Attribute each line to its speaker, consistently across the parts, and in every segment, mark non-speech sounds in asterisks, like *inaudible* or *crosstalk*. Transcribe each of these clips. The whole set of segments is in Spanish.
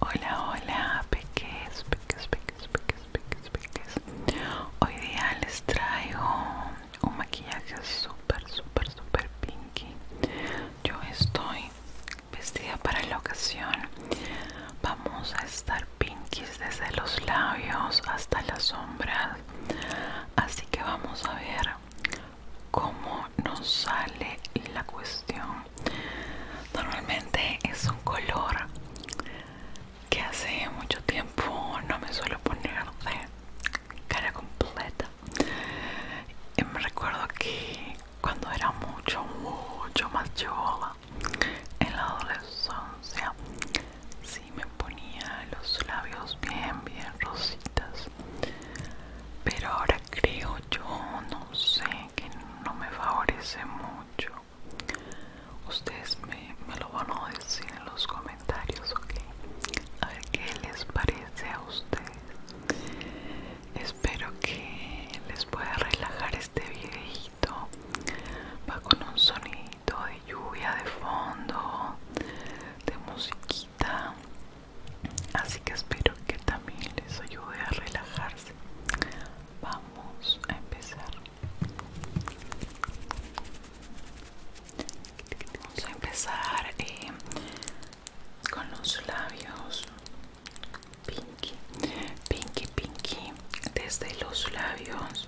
Speaker 1: Hola, hola, peques, peques, peques, peques, peques, peques. Hoy día les traigo un maquillaje super super super pinky yo estoy vestida para la ocasión vamos a estar pinkies desde los labios hasta las sombras así que vamos a ver cómo nos sale la cuestión normalmente es un color que hace mucho tiempo no me suelo poner cara completa. me recuerdo que cuando era mucho, mucho más chola en la adolescencia, si me ponía los labios bien, bien rositas. Pero ahora creo yo, no sé, que no me favorece mucho. Ustedes me, me lo van a decir en los comentarios, ¿ok? A ver qué les parece a ustedes espero que les pueda relajar este videito va con un sonido de lluvia de fondo de musiquita así que espero que también les ayude a relajarse vamos a empezar Vamos a empezar eh, con los labios pinky pinky pinky desde los labios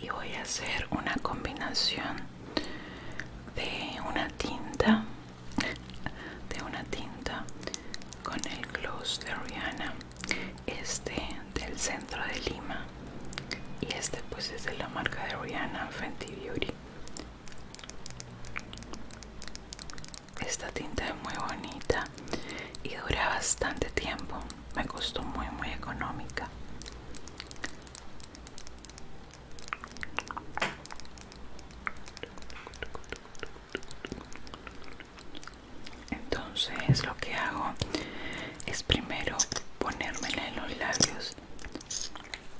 Speaker 1: y voy a hacer una combinación de una tinta de una tinta con el gloss de Rihanna este del centro de Lima y este pues es de la marca de Rihanna Fenty Beauty esta tinta es muy bonita y dura bastante tiempo. Me costó muy muy económica. Entonces lo que hago es primero ponérmela en los labios.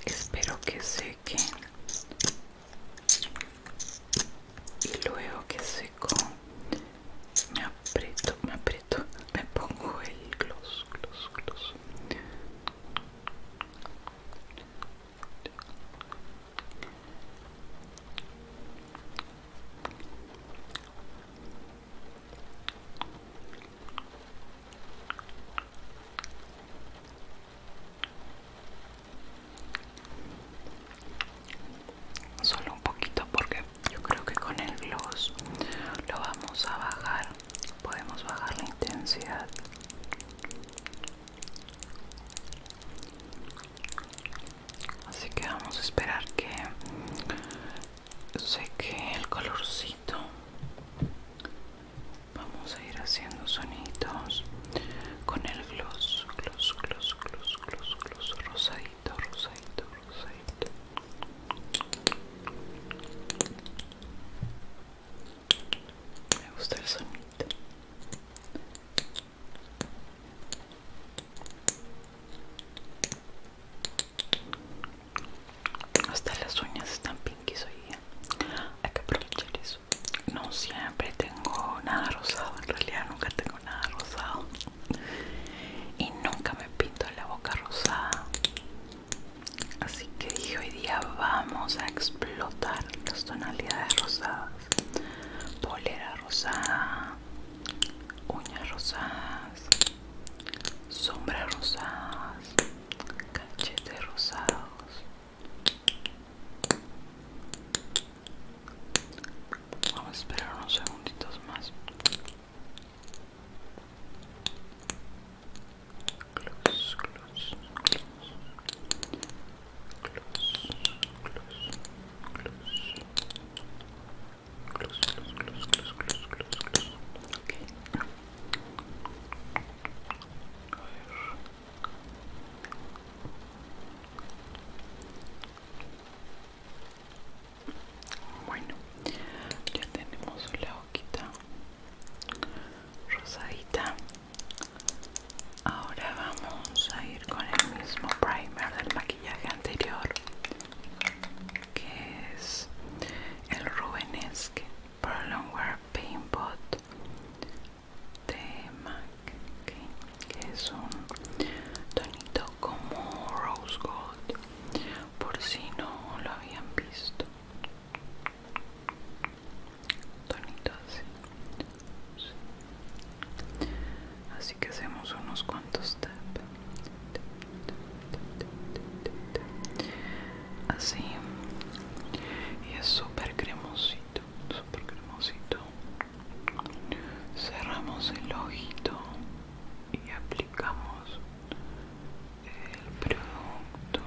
Speaker 1: Espero que se y luego que seco me aprieto, me aprieto, me pongo el gloss, gloss, gloss Solo un poquito porque yo creo que con el gloss lo vamos a bajar. Podemos bajar la intensidad. Así que vamos a esperar que seque el colorcito Vamos a ir haciendo sonidos con el gloss, gloss, gloss, gloss, gloss, gloss, rosadito, rosadito, rosadito. Me gusta el sonido. Hasta las uñas están pinkies hoy día. Hay que aprovechar eso. No siempre tengo nada rosado, en realidad nunca tengo nada rosado. Y nunca me pinto la boca rosada. Así que dije hoy día vamos a explotar las tonalidades rosadas. Polera rosada, uñas rosadas, sombras rosadas cachetes rosados vamos a esperar unos segunditos más close, close, close. Close, close, Okay. Bueno, ya tenemos la hoquita rosadita. Ahora vamos a ir con el mismo primer del maquillaje anterior, que es el Rubenesque. Berlin wear paint pot de MAC, que es un tonito como rose gold, por si no lo habían visto. Tonito así. Así que hacemos unos cuantos tap así y es súper cremosito súper cremosito cerramos el ojito y aplicamos el producto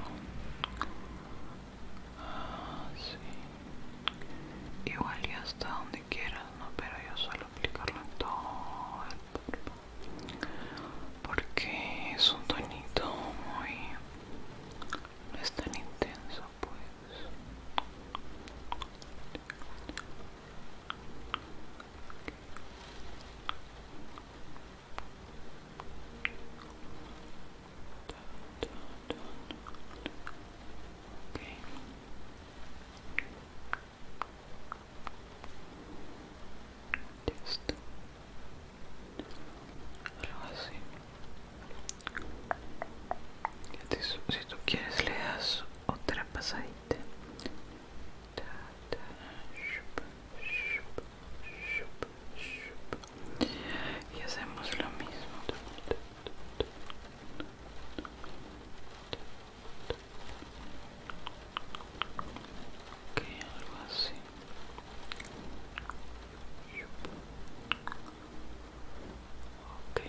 Speaker 1: así igual y hasta donde quieras pero yo suelo aplicarlo en todo el cuerpo porque es un tonito muy no es tan intenso pues Listo. Algo así. Te, si tú quieres le das otra pasadita. Ta, ta, shup, shup, shup, shup. Y hacemos lo mismo ok, algo así ok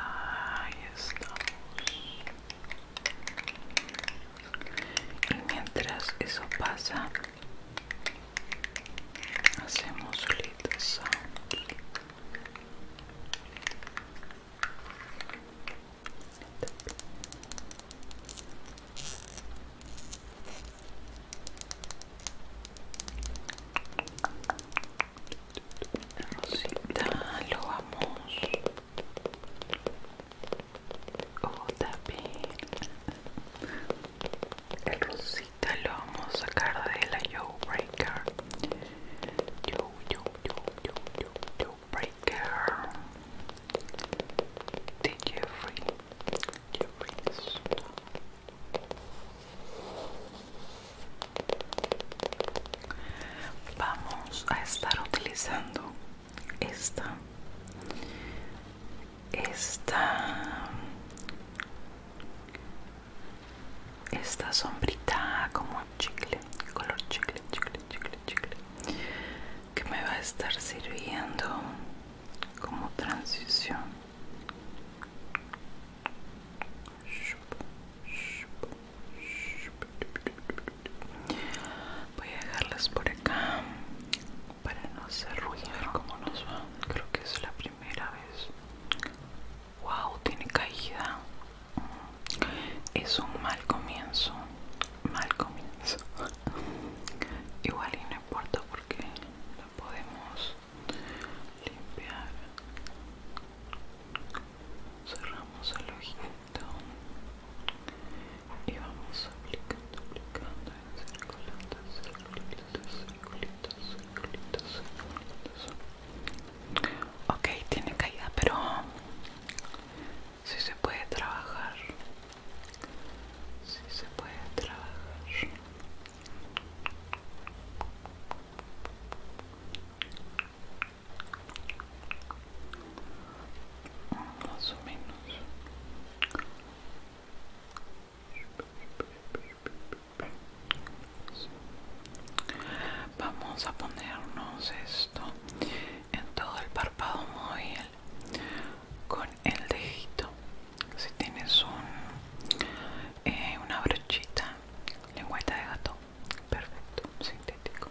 Speaker 1: Ahí estamos. Y mientras eso pasa, hacemos little sound Rosita, lo vamos. Oh, también. El rosita lo vamos a sacar de la yo breaker yo, yo, yo, yo, yo, Breaker de Jeffrey Jeffrey Vamos a estar utilizando esta esta esta sombrita como chicle color chicle chicle chicle chicle que me va a estar sirviendo como transición voy a dejarlas por acá para no hacer ruido. como nos va. Creo que es la primera vez. Wow, tiene caída. Es un mal comienzo. Mal comienzo. Igual y no importa porque lo podemos limpiar. Cerramos el ojito y vamos aplicando, aplicando circulitos, circulitos, circulitos, circulitos, circulitos. Ok, tiene caída, pero si se puede trabajar. Si se puede trabajar. Más o menos. Vamos a ponernos esto en todo el párpado móvil con el dedito. Si tienes un, eh, una brochita, lengüeta de gato, perfecto, sintético.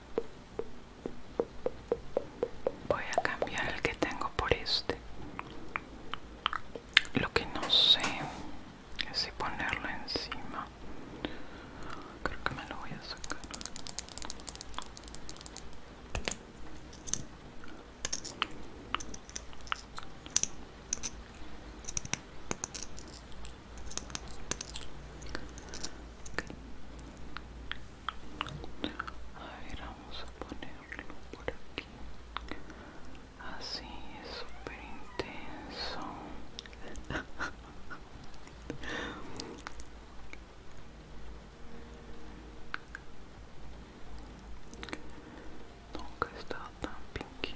Speaker 1: Voy a cambiar el que tengo por este. Lo que no sé es si ponerlo encima. Creo que me lo voy a sacar. A ver, vamos a ponerlo por aquí. Así es súper intenso. *laughs* Nunca está tan pinky.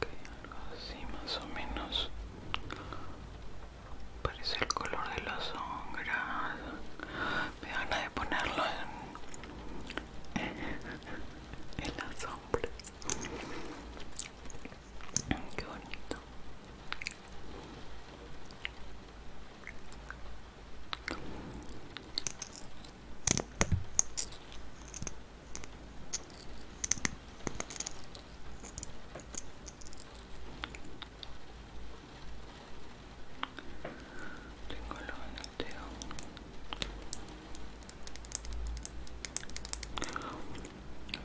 Speaker 1: algo así más o menos parece el color de la sombra me van de ponerlo en *laughs* en las sombras. Qué bonito. Tengo lo en el teo.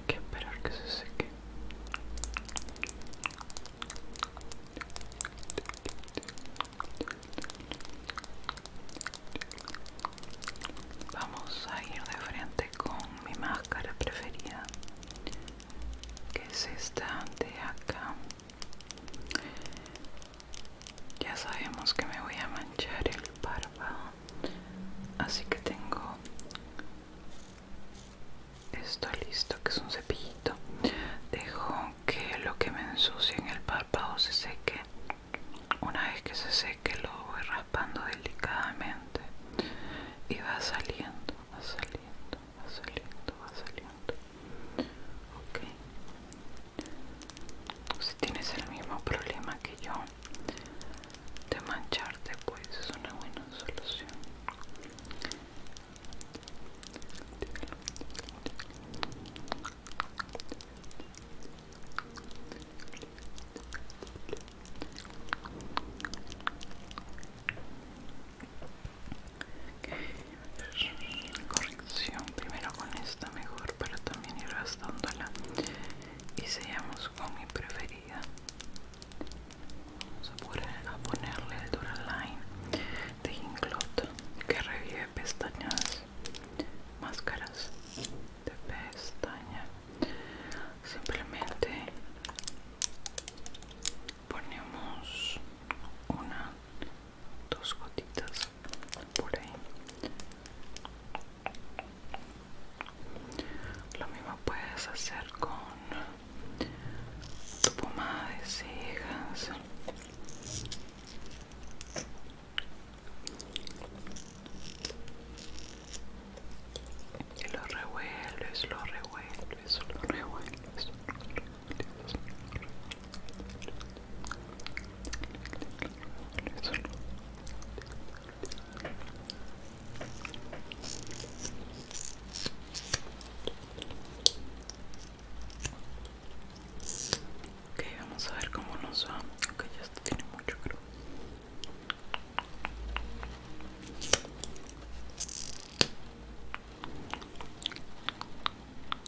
Speaker 1: que esperar que se seque. Vamos a ir de frente con mi máscara preferida, que es esta de acá. Ya sabemos que me voy a manchar el párpado, así que tengo esto listo, que es un cepillito. Dejo que lo que me ensucie en el párpado se seque. Una vez que se seque lo voy raspando delicadamente y va saliendo, va saliendo va saliendo, va saliendo. Ok. Pues si tienes el mismo problema que yo de mancharte, pues es una buena solución corrección primero con esta mejor para también ir gastándola y seguimos con mi preferida vamos a, ponerle el Duraline de Inglot que revive pestañas máscaras de pestaña simplemente ponemos una dos gotitas por ahí lo mismo puedes hacer con tu pomada de cejas y lo revuelves, lo revuelves, lo revuelves, lo revuelves Ok, vamos a ver cómo nos va. Ok, ya esto tiene mucho creo.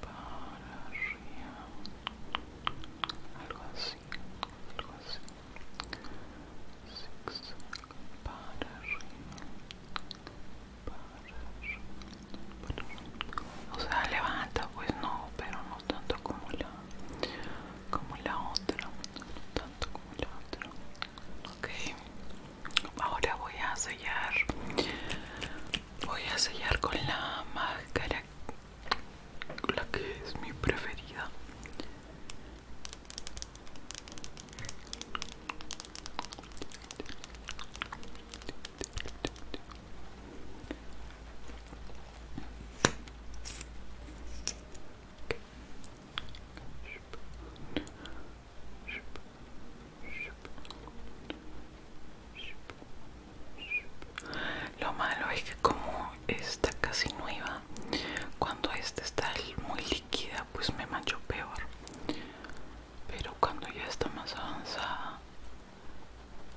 Speaker 1: para arriba algo así algo así Six para arriba para arriba para arriba o sea levanta pues no pero no tanto como la como la otra no tanto como la otra ok ahora voy a sellar voy a sellar con la máscara la que es mi preferida lo malo es que como está casi nueva, cuando esta está muy líquida, pues me mancho peor. Pero cuando ya está más avanzada,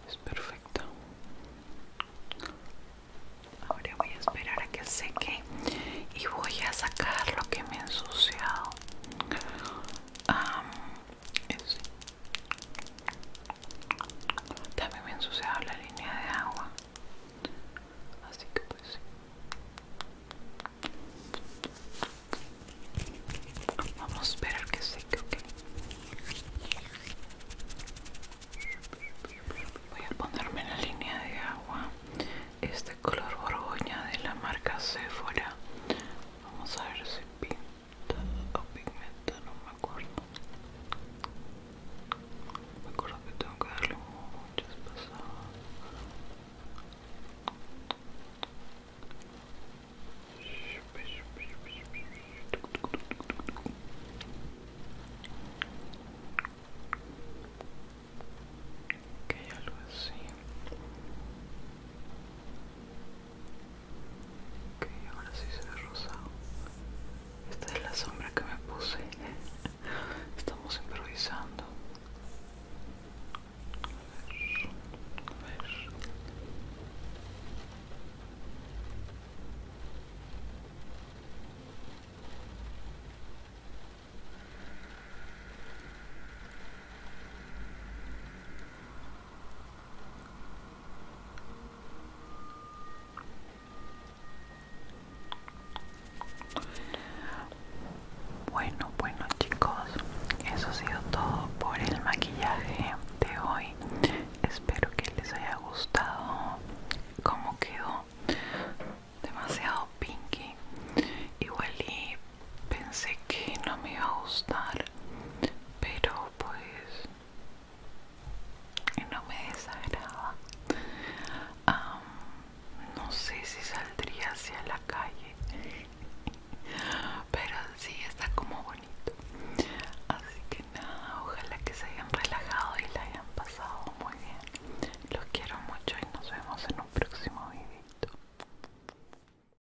Speaker 1: es perfecta. Ahora voy a esperar a que seque y voy a sacar lo que me ha ensuciado. También me ensuciado la línea de agua. Así que pues Vamos a esperar que seque, ok. Voy a ponerme la línea de agua. Este color borgoña de la marca Sephora. Vamos a ver si pinta o pigmento, no me acuerdo. Me acuerdo que tengo que darle muchas pasadas. Ok, algo así. Ok, ahora sí se ve rosado. Esta es la sombra que me puse. Estamos improvisando. ver. Bueno, bueno chicos, eso ha sido todo por el maquillaje de hoy. Espero que les haya gustado cómo quedó. Demasiado pinky. Igual y pensé que no me iba a gustar pero pues no me desagrada no sé si saldría hacia la calle pero sí está como bonito así que nada ojalá que se hayan relajado y la hayan pasado muy bien los quiero mucho y nos vemos en un próximo video